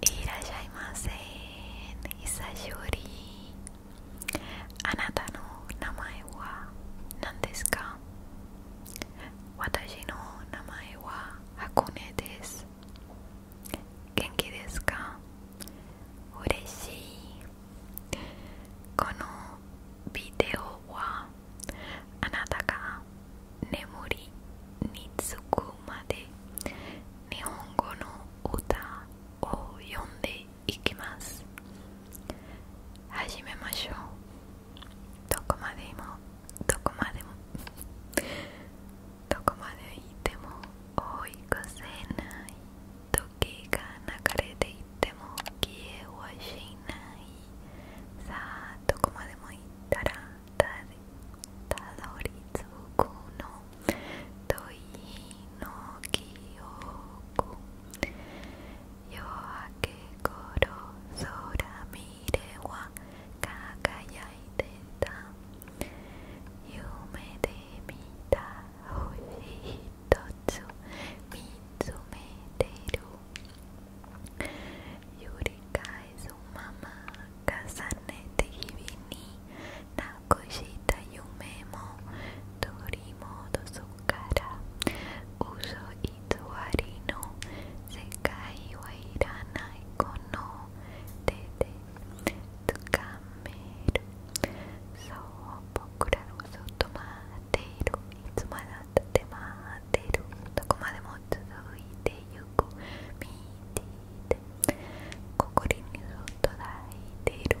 いらっしゃいませ久しぶりあなたの名前は何ですか私の名前は箱根です元気ですか嬉しいこのビデオはあなたが眠りにつくまで日本語の歌を読んでいきます始めましょうどこまでもどこまでもどこまでいても追い越せない時が流れていっても消えはしないさあどこまでも行ったらたどり着くの問いの記憶夜明け頃空見れば輝いてた夢で見た星一つ見つめてる「Yurika es su mamá, Kazanete Hibini, Nakoshita Yumemo, Torimo Dosukara, Uso Itsuarino, Sekai Wairana Kono, Tete, Tsukameru, So Bokura Uso Tomateru, Itsumadatemateru, どこまでも続いてい横見ていて心に届いている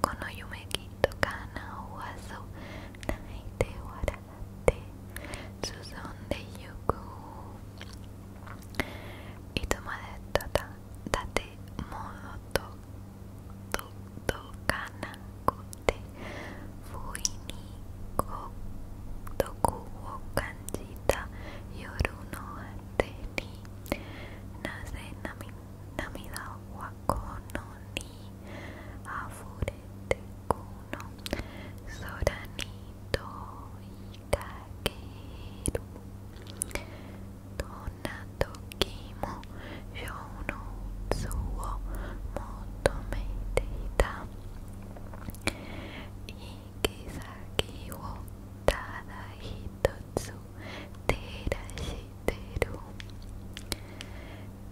この夢きっと叶わそう泣いて笑って進んでゆくいつまでただ建物と届かなくって不意に孤独を感じた夜の果てになぜ涙はこのにあふれてくの空に問いかけるどんな時も情の渦を求めていた行き先をただ一つ照らしてる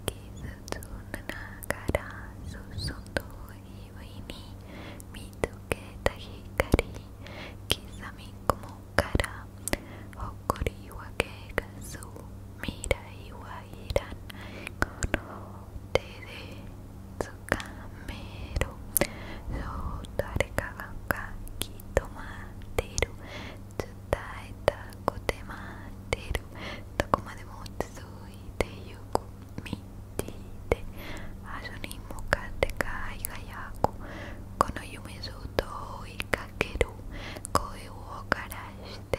傷つながらそ注ぐいに見つけた光刻み雲からこりはけがす未来はいらん。この手で掴めるそう誰かがきっと待ってる伝えたくて待ってるどこまでも続いてゆく道で端に向かって輝くこの夢ずっと追いかける声を枯らして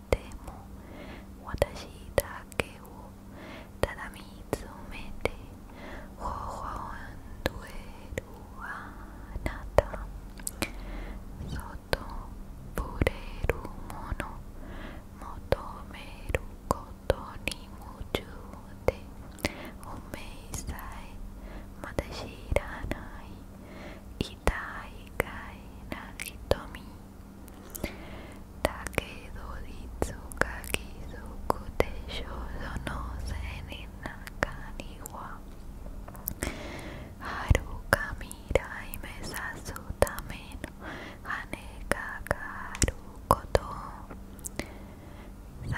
ても私だけをただ見つめて微笑んでいるあなたそっと触れるもの求めることに夢中でおめいさえまだ知らない痛いかいな瞳だけどいつか気づくでしょうその背中には遥か未来目指すための羽がかかること残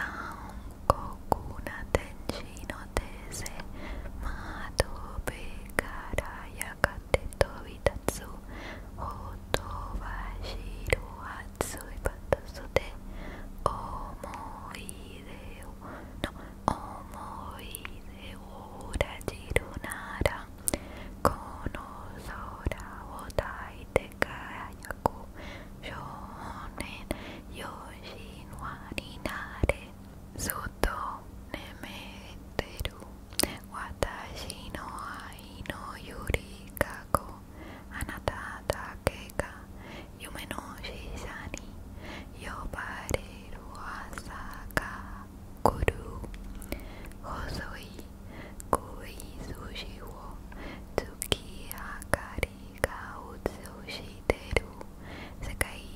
酷な天使の手製窓辺からやがて飛びつおほとばしろはついばたそで思い出をの思い出を裏切るならこの空を抱いて輝く少年よしのわになれずっと眠ってる私の愛のゆりかごあなただけが夢のしさに呼ばれる朝が来る細い食い寿司を月明かりが映してる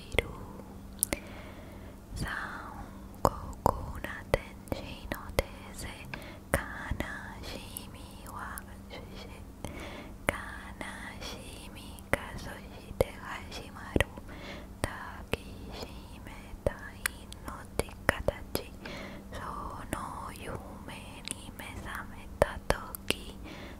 biru Sanko kuna tenshi no tese Kanashimi wa shushi Kanashimi ka soshite hashimaru Takishimetai no tikatachi Sono yume ni mesame ta toki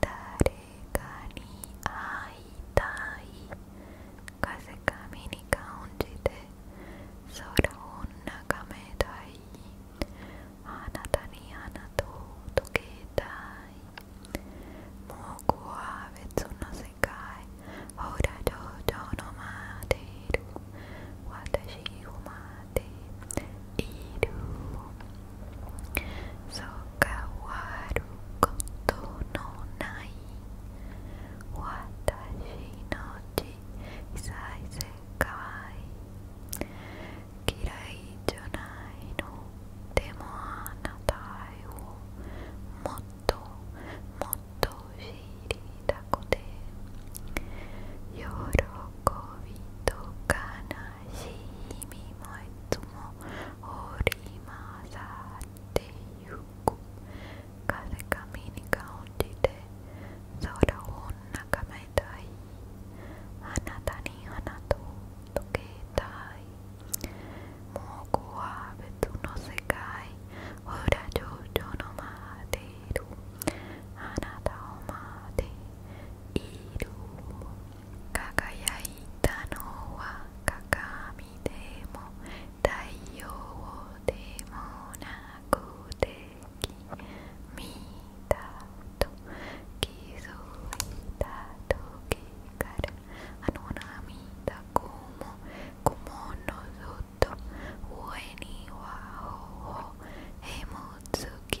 誰かに会いたい風上に感じて空を眺めたいあなたに穴と溶けたいもうこは別の世界ほら上々の待っている私を待っているそう変わることのない私の小さい世界嫌いじゃないのでもあなたをもっともっと知りたくて喜びと悲しみもいつも織り交ざってゆく風が身に感じて空を眺めたいあなたに花と溶けたいもうこは別の世界ほら上々の待っているあなたを待っている輝いたのは鏡でも太陽でもなくて見たと気づいた時からあの涙も雲ものずっと上には頬へもつき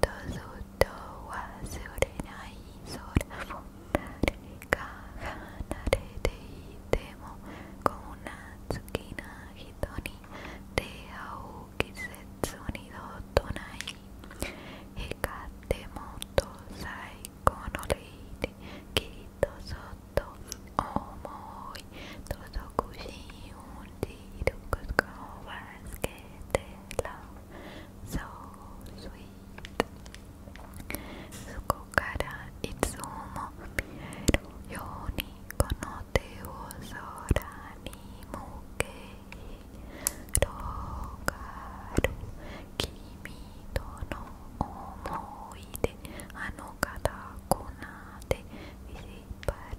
とそっと忘れない空も誰か離れていてもこんな好きな人に出会う季節にどとない光ってもっと最高のレイできっとそっと思い届くし運でいることを忘れ so sweet そこからいつも見えるようにこの手を空に向け広がる君との思い出あの方こなで引っ張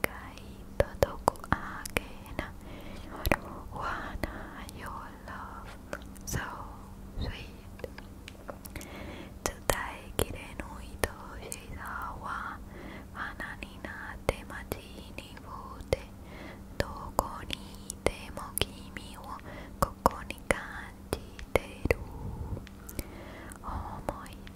caído do agena Juana your love so sweet Today kirenui to shizawa Hananina te machi ni fute Doko ni temo kimi wo koko ni kanjiteru 思い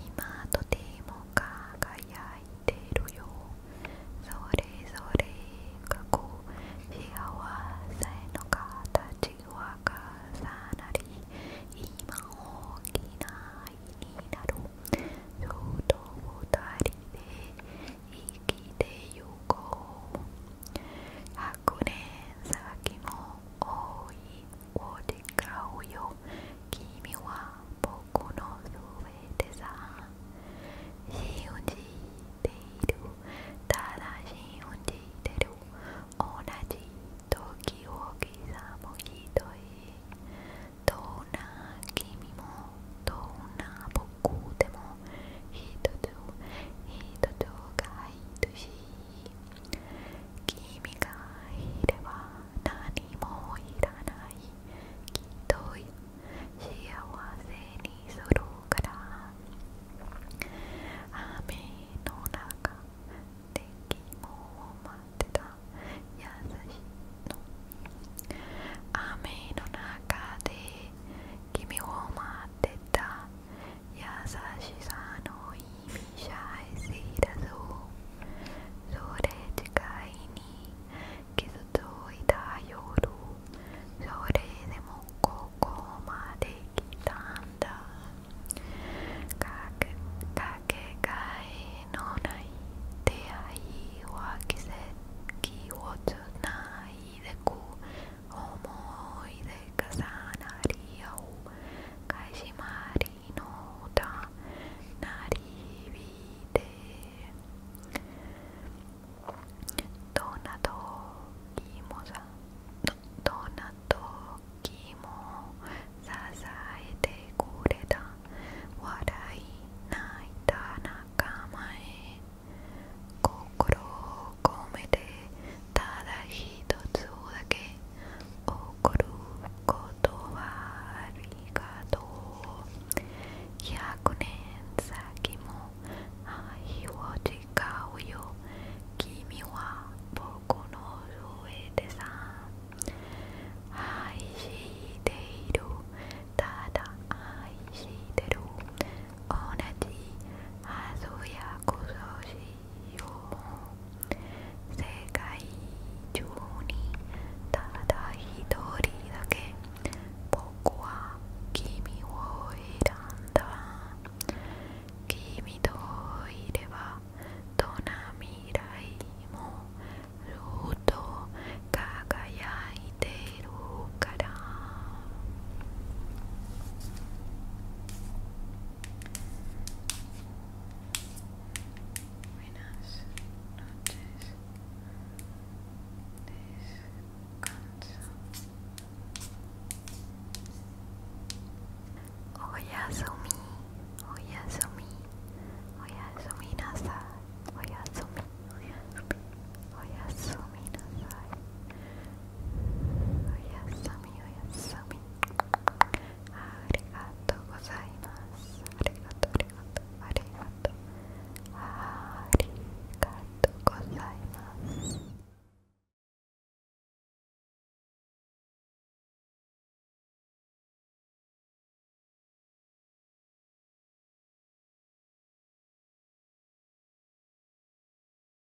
今とても輝いてるよそれぞれがこう幸せの形は重なり今大きな愛になるずっと二人で生きてゆこう100年先も多い odicayo Kimi wa poco no sueteza Shiunji deru Tadashi unji deru Onaji toki wo kizamu hitoi Dona kimi mo Dona boku demo Hitotsu Hitotsu ga hitosii 君がいれば何もいらないきっと幸せにするから雨の中で君を待ってた優しいの雨の中で君を待ってた優しさいだぞそれ近いに傷ついた夜それでもここまで来たんだかけかけがえのない出会いは季節をつないでく思い出重なり合う始まり minuta narivide donna toki mo sa donna toki mo sasaete kureta warai naita nakama e kokoro komete ただ一つだけ怒ることはありがとう100年先も愛を誓うよ君は僕の上でさ愛しているただ愛してる同じあそやこそし世界中にただ一人だけ僕は君を選んだ君といればどんな未来もずっと輝いているから Buenas noches. Oyasumi. Oyasumi. Oyasumi nasai. Oyasumi. Oyasumi. Oyasumi nasai. おやすみおやすみありがとうございますありがとうありがとうありがとうありがとうございます